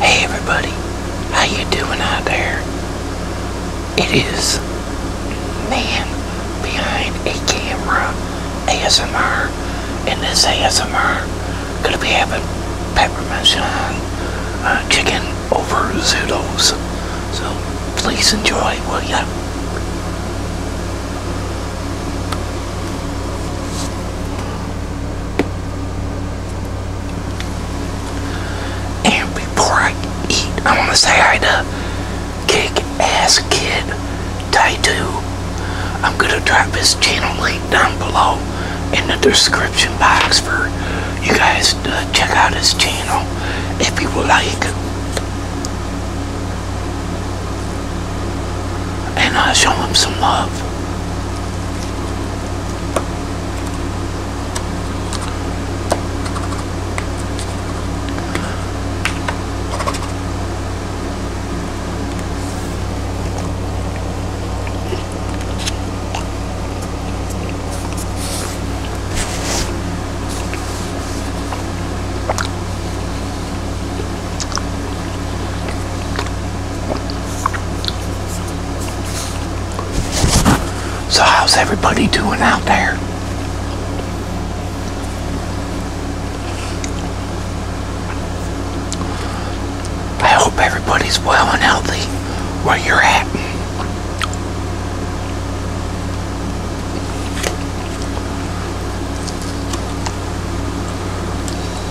Hey everybody, how you doing out there? It is man behind a camera ASMR and this ASMR gonna be having peppermint shine uh, chicken over zoodles. So please enjoy, will ya? And before I eat, I want to say hi to Kick Ass Kid Tattoo. I'm going to drop his channel link down below in the description box for you guys to check out his channel if you would like and uh, show him some love. So how's everybody doing out there? I hope everybody's well and healthy where you're at.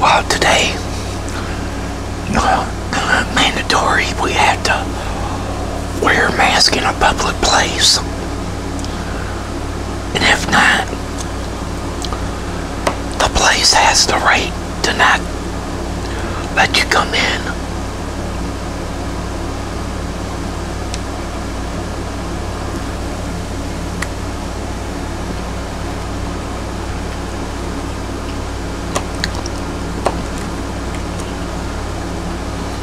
Well, today, uh, mandatory, we have to wear a mask in a public place. And if not, the place has the right to not let you come in.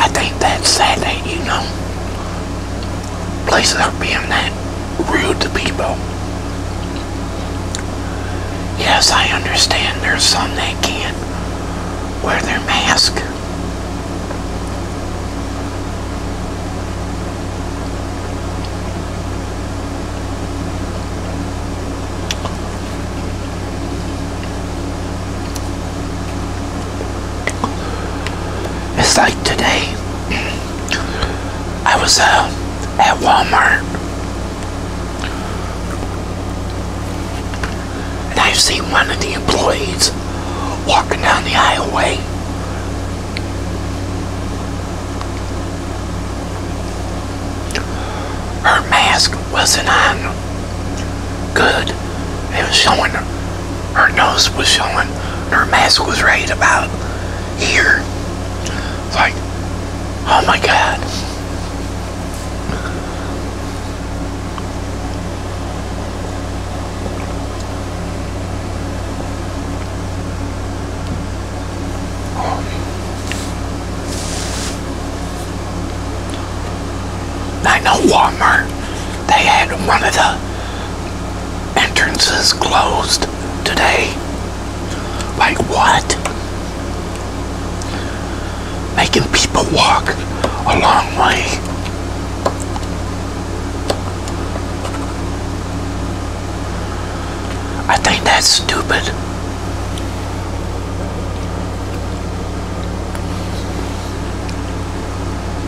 I think that's sad that, you know, places are being that rude to people. Yes, I understand there's some that can't wear their mask. It's like today, I was uh, at Walmart and i see one of the employees walking down the highway. Her mask wasn't on good. It was showing her, nose was showing, her mask was right about here. like, oh my god. I know Walmart they had one of the entrances closed today. Like what? Making people walk a long way. I think that's stupid.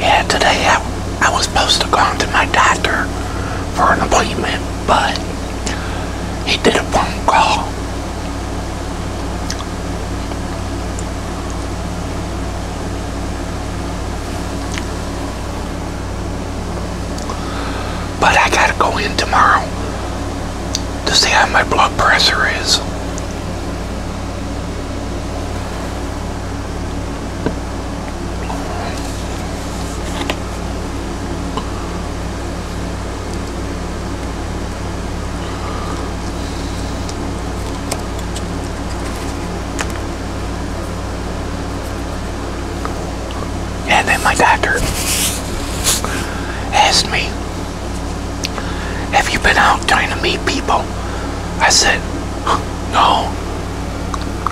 Yeah, today I, I was supposed to go to my doctor for an appointment but he did a phone call. But I gotta go in tomorrow to see how my blood pressure is. And then my doctor asked me, Have you been out trying to meet people? I said, No.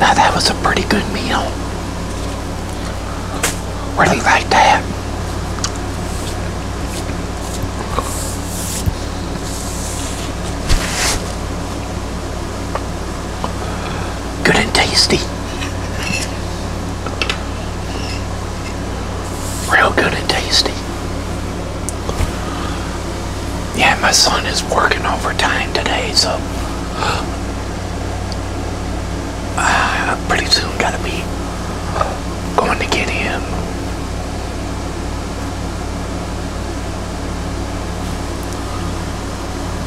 Now that was a pretty good meal. Really like that. Good and tasty. Real good and tasty. Yeah, my son is working overtime today, so uh, pretty soon gotta be going to get him.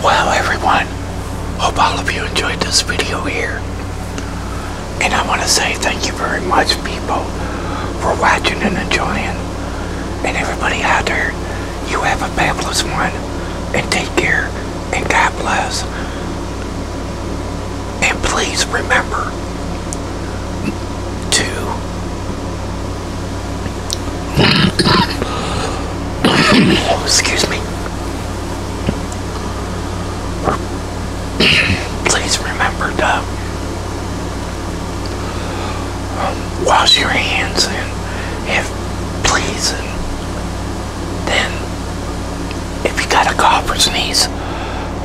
Wow, everyone, hope all of you enjoyed this video here. And I want to say thank you very much, people, for watching and enjoying. And everybody out there, you have a fabulous one. And take care. And God bless. And please remember to... Excuse me. please remember to wash your hands and if please then if you got a cough or sneeze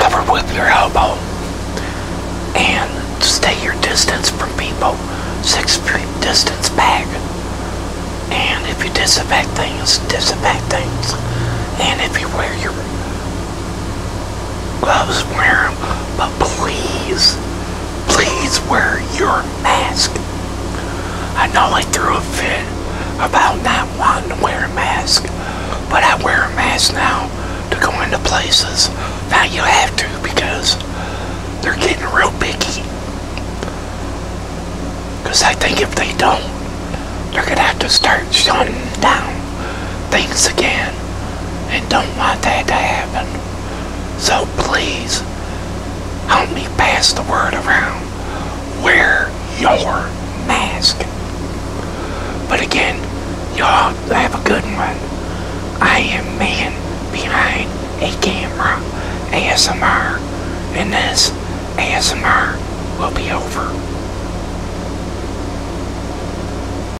cover with your elbow and stay your distance from people six feet distance back and if you disinfect things disinfect things and if you wear your gloves, wear but please, please wear your mask. I know I threw a fit about not wanting to wear a mask, but I wear a mask now to go into places. Now you have to because they're getting real picky. Because I think if they don't, they're going to have to start shutting down. Thanks again and don't want that to happen. So please help me pass the word around. Wear your mask. But again, y'all have a good one. I am man behind a camera ASMR and this ASMR will be over.